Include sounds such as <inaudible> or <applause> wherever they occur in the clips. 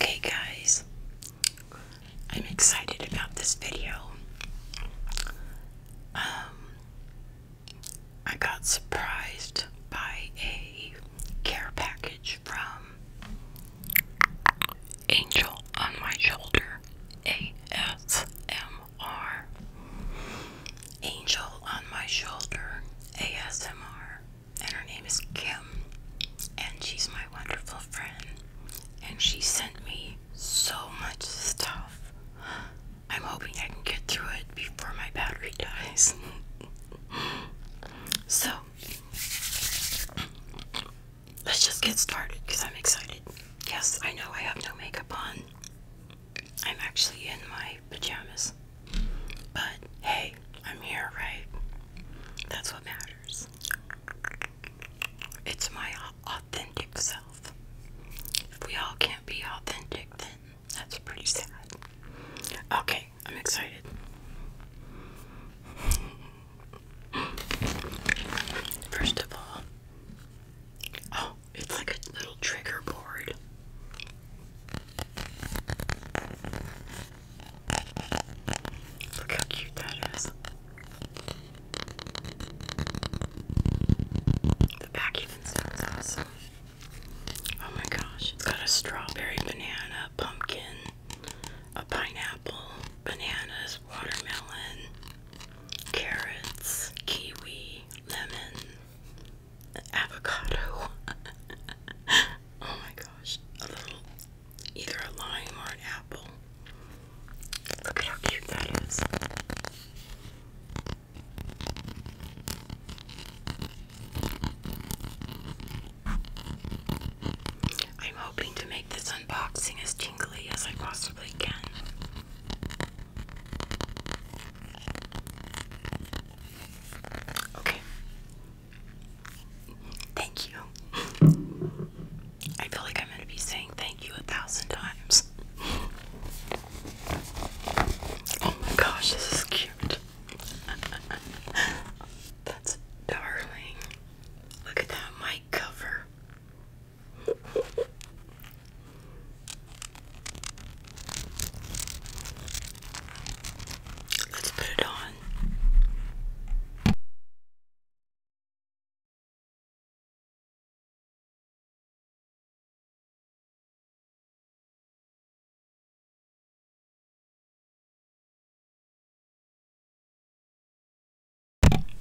Okay, guys, I'm excited about this video. Um, I got surprised by a care package from Angel on My Shoulder ASMR. Angel on My Shoulder ASMR and her name is Kim, and she's my wonderful friend. And she sent me so much stuff. I'm hoping I can get through it before my battery dies. <laughs> so, let's just get started because I'm excited. Yes, I know I have no makeup on. I'm actually in my pajamas. But hey, I'm here, right? That's what matters. It's my authentic self. If we all can't be authentic, then that's pretty sad. Okay, I'm excited. First of all, oh, it's like a little trigger board. Look how cute that is. The back even sounds Oh my gosh, it's got a strawberry, banana, pumpkin, a pineapple, bananas, watermelon, carrots, kiwi, lemon, avocado. <laughs> oh my gosh. Either a lime or an apple. Look at how cute that is. I'm hoping to make this unboxing as tingly as I possibly can. Okay, Thank you. I feel like I'm going to be saying thank you a thousand times. Oh my gosh, this is cute. That's darling. Look at that mic cover. Let's put it on.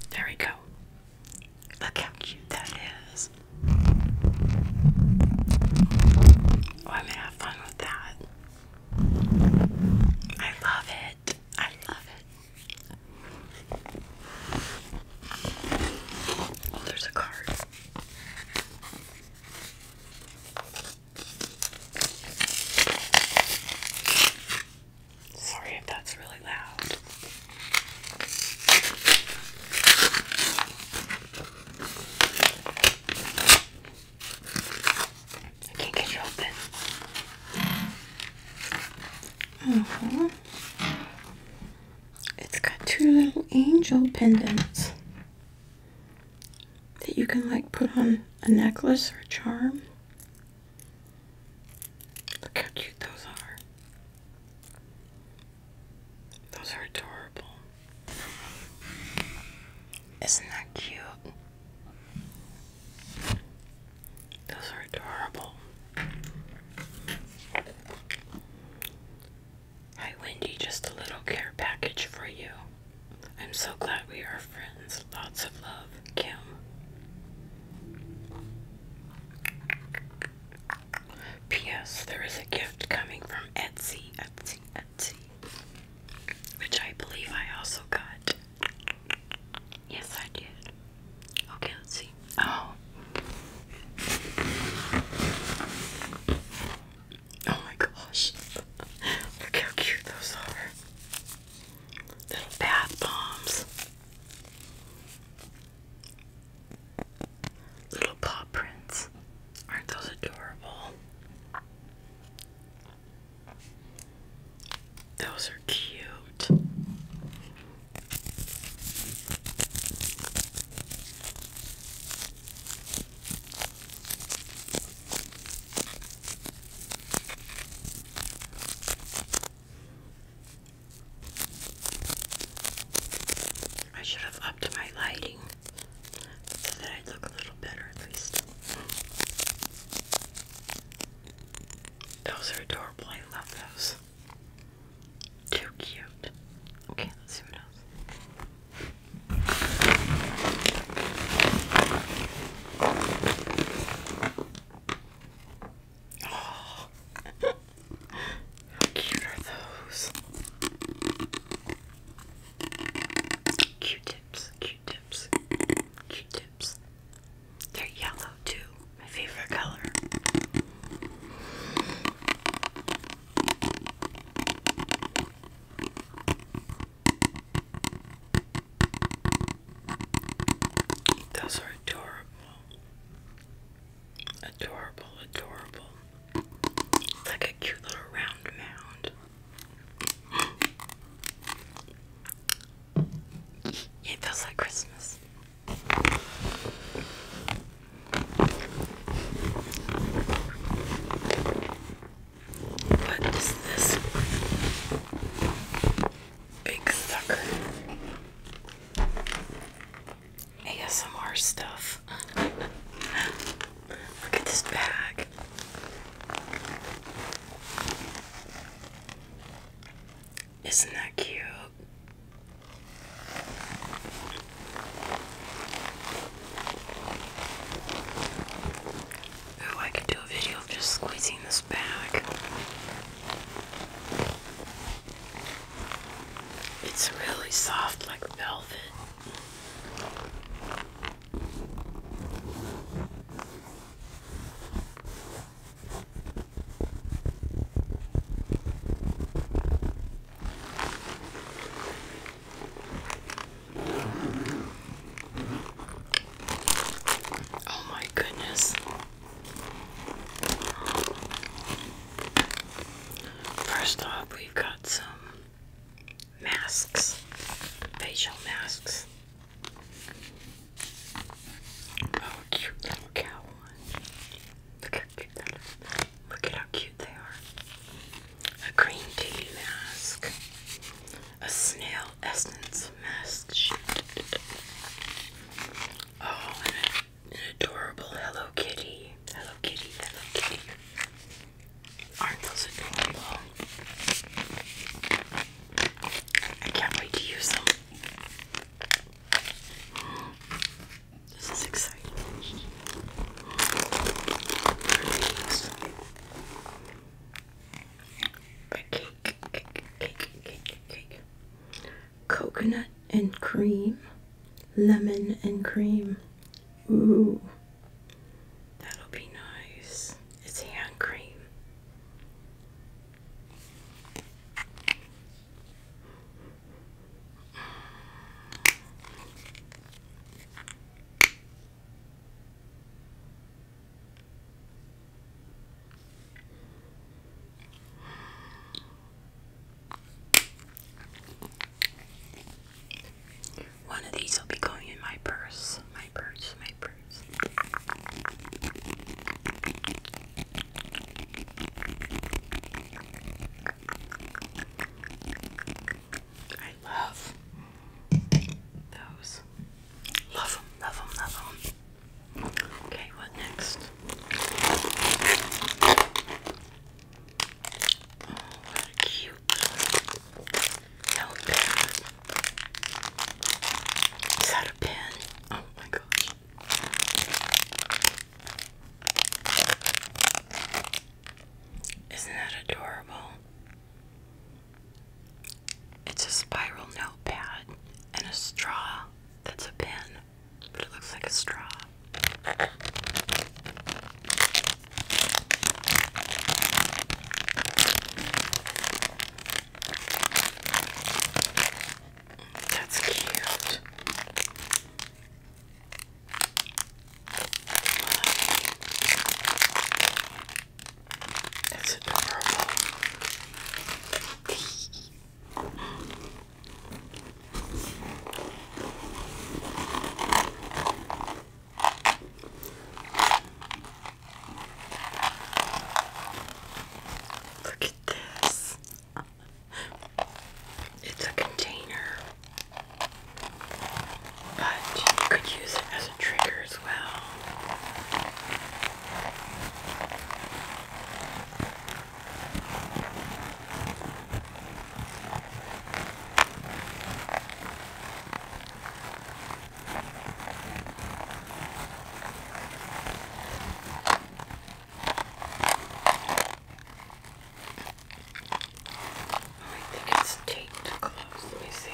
There we go. Look how cute that is. Oh, i have fun with that. I love it. I love it. Oh, there's a card. Sorry if that's really loud. I can't get you open. Mm-hmm. It's got two little angel pendants that you can like put on a necklace or a charm. Look how cute those are. Those are adorable. Isn't that cute? Those are adorable. Hi, Wendy, just a little care package for you. I'm so glad we are friends. Lots of love, Kim. P.S. There is a gift coming from Etsy, Etsy, Etsy, which I believe I also got. Yes, I did. Okay, let's see. Oh. Oh my gosh. Look how cute those are. Little bath bombs. Little paw prints. Aren't those adorable? Those are cute. I should have upped my lighting so that I look a little better at least. Those are adorable. I love those. Too cute. Okay, let's see what else. Oh, <laughs> how cute are those? Q-tips, Q-tips, Q-tips. They're yellow too, my favorite color. Those are adorable. Adorable, adorable like a cute little round mound. It feels like Christmas. What is this big sucker? ASMR stuff. <laughs> Look at this bag. Isn't that cute? Oh, I could do a video of just squeezing this bag. It's really soft like velvet. Oh, my goodness. First off, we've got some masks, facial masks. Oh, cute little cow Look how cute they are. A green tea mask. A snail essence mask Oh, an adorable Hello Kitty. Hello Kitty, Hello Kitty. Aren't those adorable? I can't wait to use them. This is exciting. Cake, cake, cake, cake, cake. Coconut and cream, lemon and cream, Ooh, that'll be nice. It's hand cream. One of these will be going in my purse. My purse, my purse. I love those. Love them, love them, love them. Okay, what next? Oh, what a cute little Is that a pen? Oh my gosh. Isn't that adorable? It's a spiral notepad and a straw that's a pen, but it looks like a straw. That's cute. It's adorable. Look at this. It's a container, but could use it as a trigger as well. I think it's taped close. Let me see.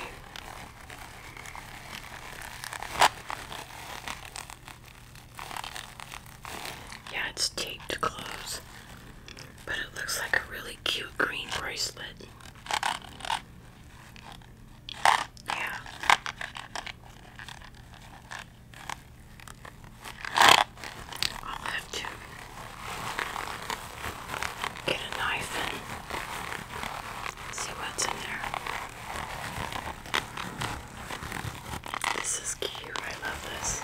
Yeah, it's taped close. But it looks like a really cute green bracelet. Yeah. I'll have to get a knife and see what's in there. This is cute. I love this.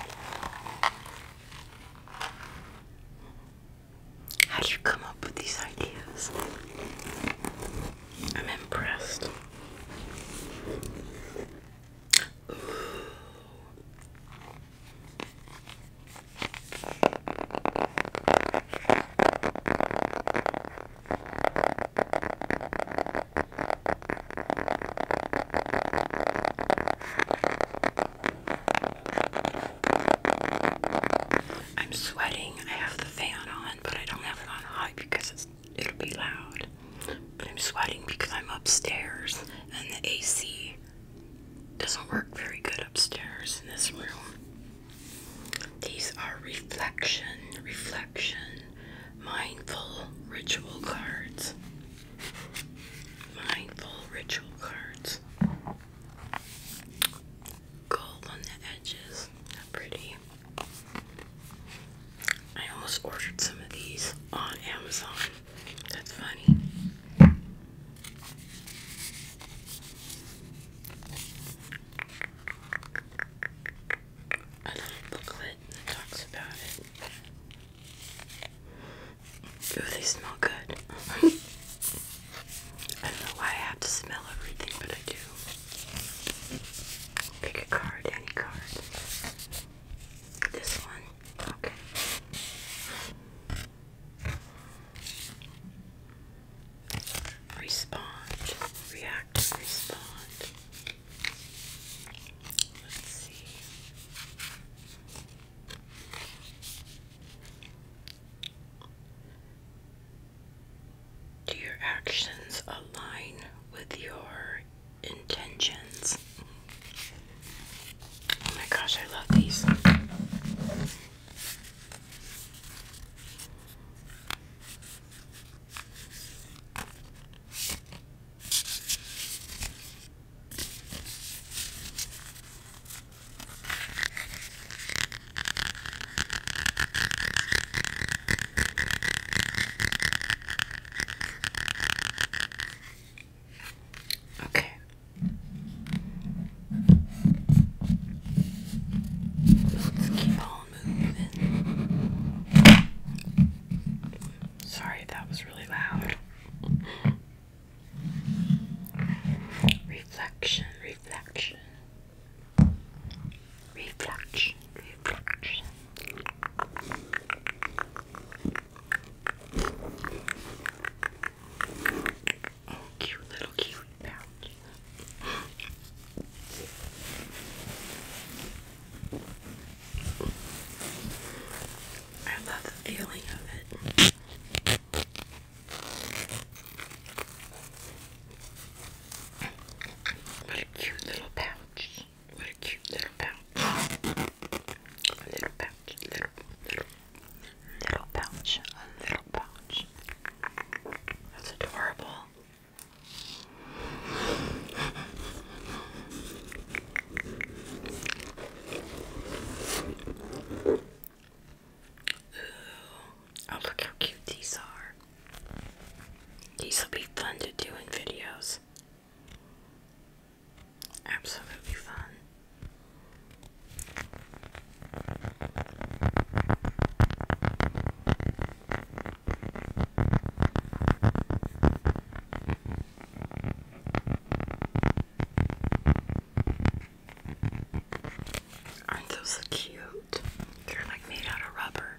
How do you come up with these ideas? I'm impressed. I'm sweating. I have the fan on, but I don't have it on high because it'll be loud. But I'm sweating because I'm upstairs and the AC doesn't work very good upstairs in this room. These are reflection, reflection, mindful ritual cards. Mindful ritual cards. Gold on the edges. Not pretty. I almost ordered some of these on Amazon. That's funny. A little booklet it talks about it. they smell good. <laughs> I don't know why I have to smell everything, but I do. Pick a card, any card. This one. Okay. Respond. React. Respond. Do your actions align with your intentions? Oh my gosh, I love these. Okay. Let's keep on moving. Sorry, that was really loud. Reflection, reflection. Reflection, reflection. Oh, cute little cute pouch. I love the feeling of it. What a cute little pouch. What a cute little pouch. A little pouch. Little, pouch. A little pouch. That's adorable. Oh, look how cute these are. These will be fun to do in videos. Absolutely fun. Aren't those cute? They're like made out of rubber.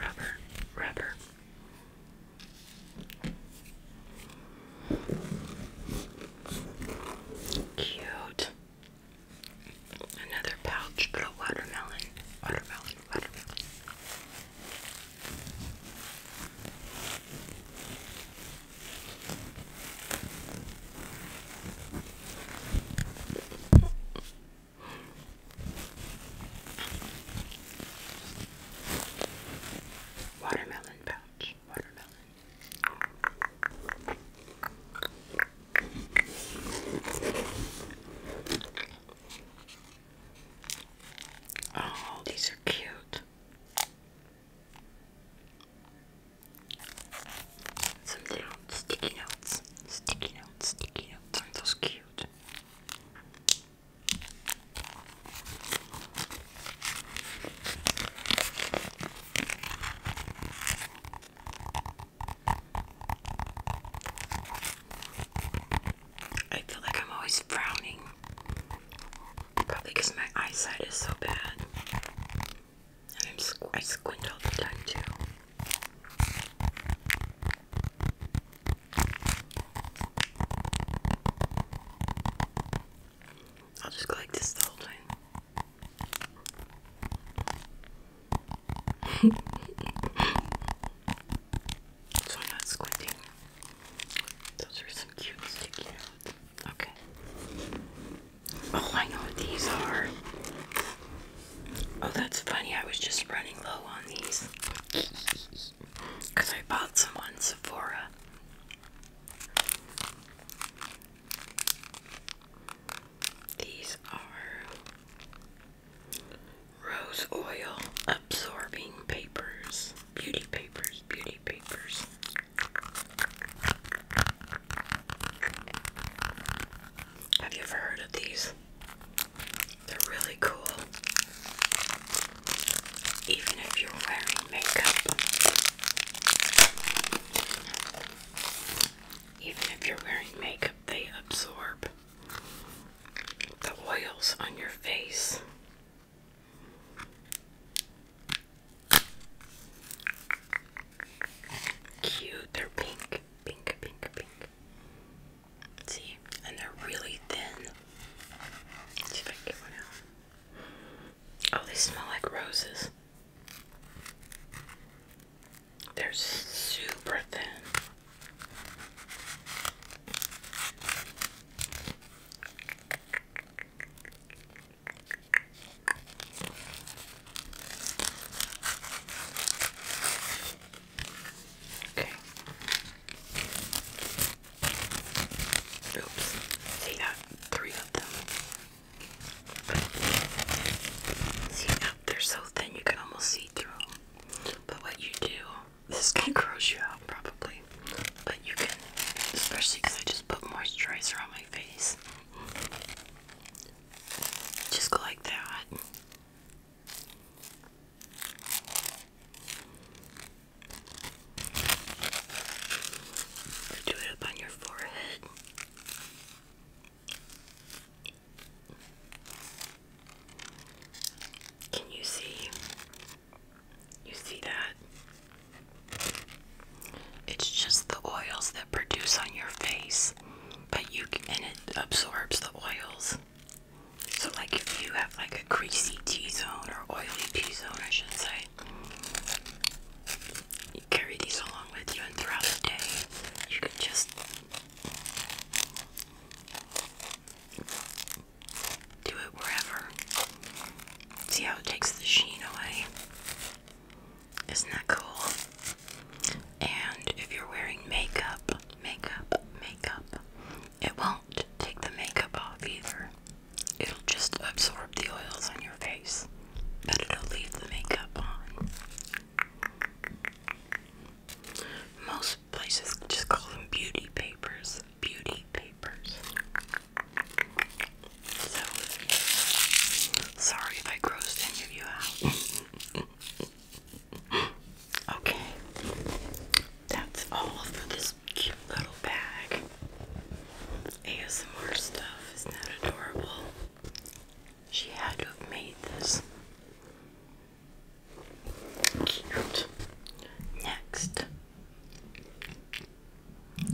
Rubber, rubber. Cute. Another pouch but a watermelon. Watermelon, watermelon. Watermelon pouch, watermelon. Oh, these are cute. Some little sticky notes. Sticky notes, sticky notes. Aren't cute? I feel like I'm always frowning. Probably because my eyesight is so bad. And I'm squ I squint all the time too. I'll just go like this the whole time. <laughs> so i squinting. Those are some cute sticky Okay. Oh, I know what these are. Oh, that's funny. I was just running low on these. Because I bought some on Sephora. These are Rose oil absorbing papers, beauty papers, beauty papers. Have you ever heard of these? They're really cool. Even if you're wearing makeup, even if you're wearing makeup, they absorb the oils on your face. Cute, they're pink, pink, pink, pink. See, and they're really thin. Oh, they smell like roses. They're super thin. Okay. Oops. See, got three of them. See, they're so thin you can almost see through. But what you do, this can <laughs> gross you out probably. But you can, especially because I just put moisturizer on my face. Just go like that. do it up on your forehead. Can you see? You see that? It's just the oils that produce on your face, but you can, and it absorbs the oils. So, like if you have like a greasy T zone or oily T zone, I should say, you carry these along with you, and throughout the day, you can just do it wherever. See how it takes the sheen away. Isn't that cool? And if you're wearing makeup, makeup, makeup, it won't take the makeup off either. It'll just absorb the oils on your face, but it'll leave the makeup on. Most places just call them beauty papers. Beauty papers. sorry if I grossed any of you out. okay, that's all for this cute little bag. ASMR stuff, isn't adorable? She had to have made this. Cute. Next,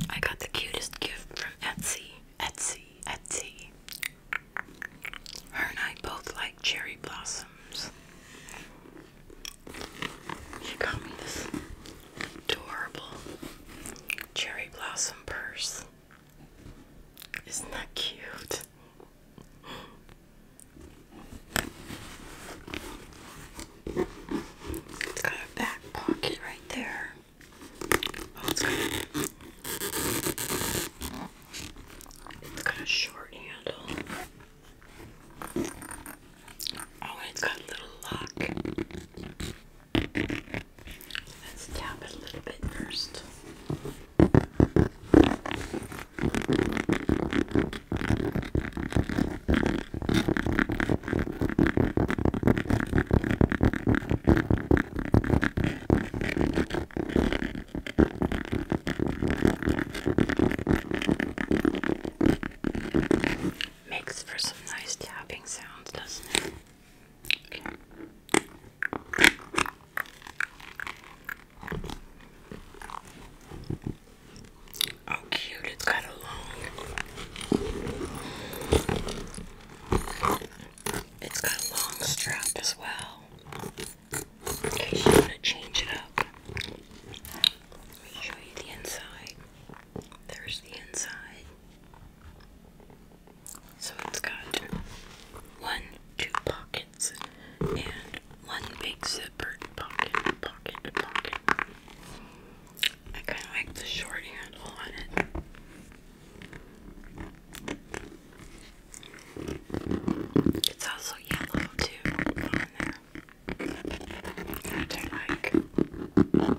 I got the cutest gift from Etsy. Etsy, Etsy. Her and I both like cherry blossoms. She got me this adorable cherry blossom purse. Isn't that cute? It's got a back pocket right there. Oh, it's it's got a short handle. Oh, and it's got a little lock. Let's tap it a little bit first. Makes for some nice tapping sounds, doesn't it? Oh, cute, it's got a long, it's got a long strap as well. In case you want to change it up, let me show you the inside. There's the inside. So it's got one, two pockets, and one big zippered pocket, pocket, pocket. I kind of like the short handle on it. It's also yellow too on there. Which I like.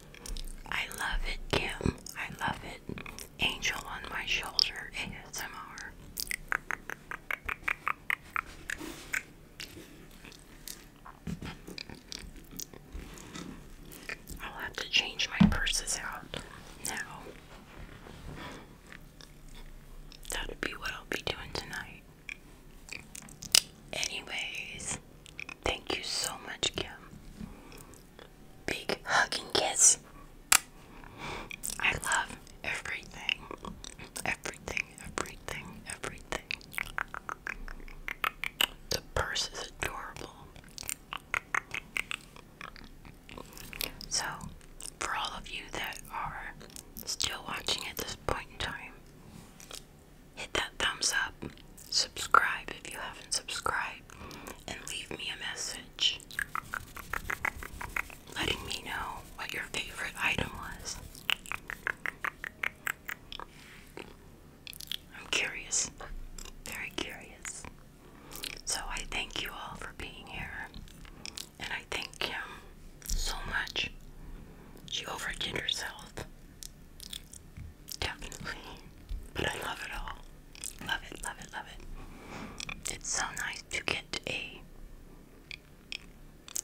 I love it, Kim. I love it. Angel on my shoulder ASMR. I'll have to change my purses out now. That'll be what I'll be doing tonight. Anyways, thank you so much, Kim big hug and kiss. I love everything. Everything, everything, everything. The purse is adorable. So, for all of you that are still watching at this point in time, hit that thumbs up. Subscribe if you haven't subscribed and leave me a message letting me know what your favorite item was. I'm curious, very curious. So I thank you all for being here, and I thank him so much. She overdid herself definitely. But I love it all. Love it, love it, love it. It's so nice to get a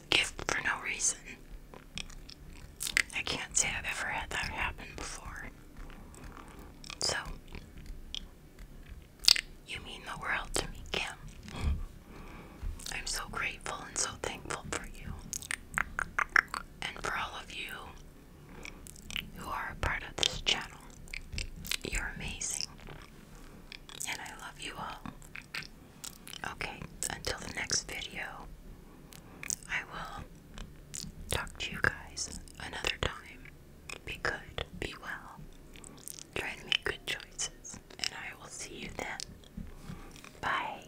gift for no reason. I can't say I've ever had that happen before. So, you mean the world to me, Kim. I'm so grateful and so thankful for you and for all of you who are a part of this channel. You're amazing. And I love you all. Okay, until the next video, I will talk to you guys another time. Be good, be well, try to make good choices, and I will see you then. Bye.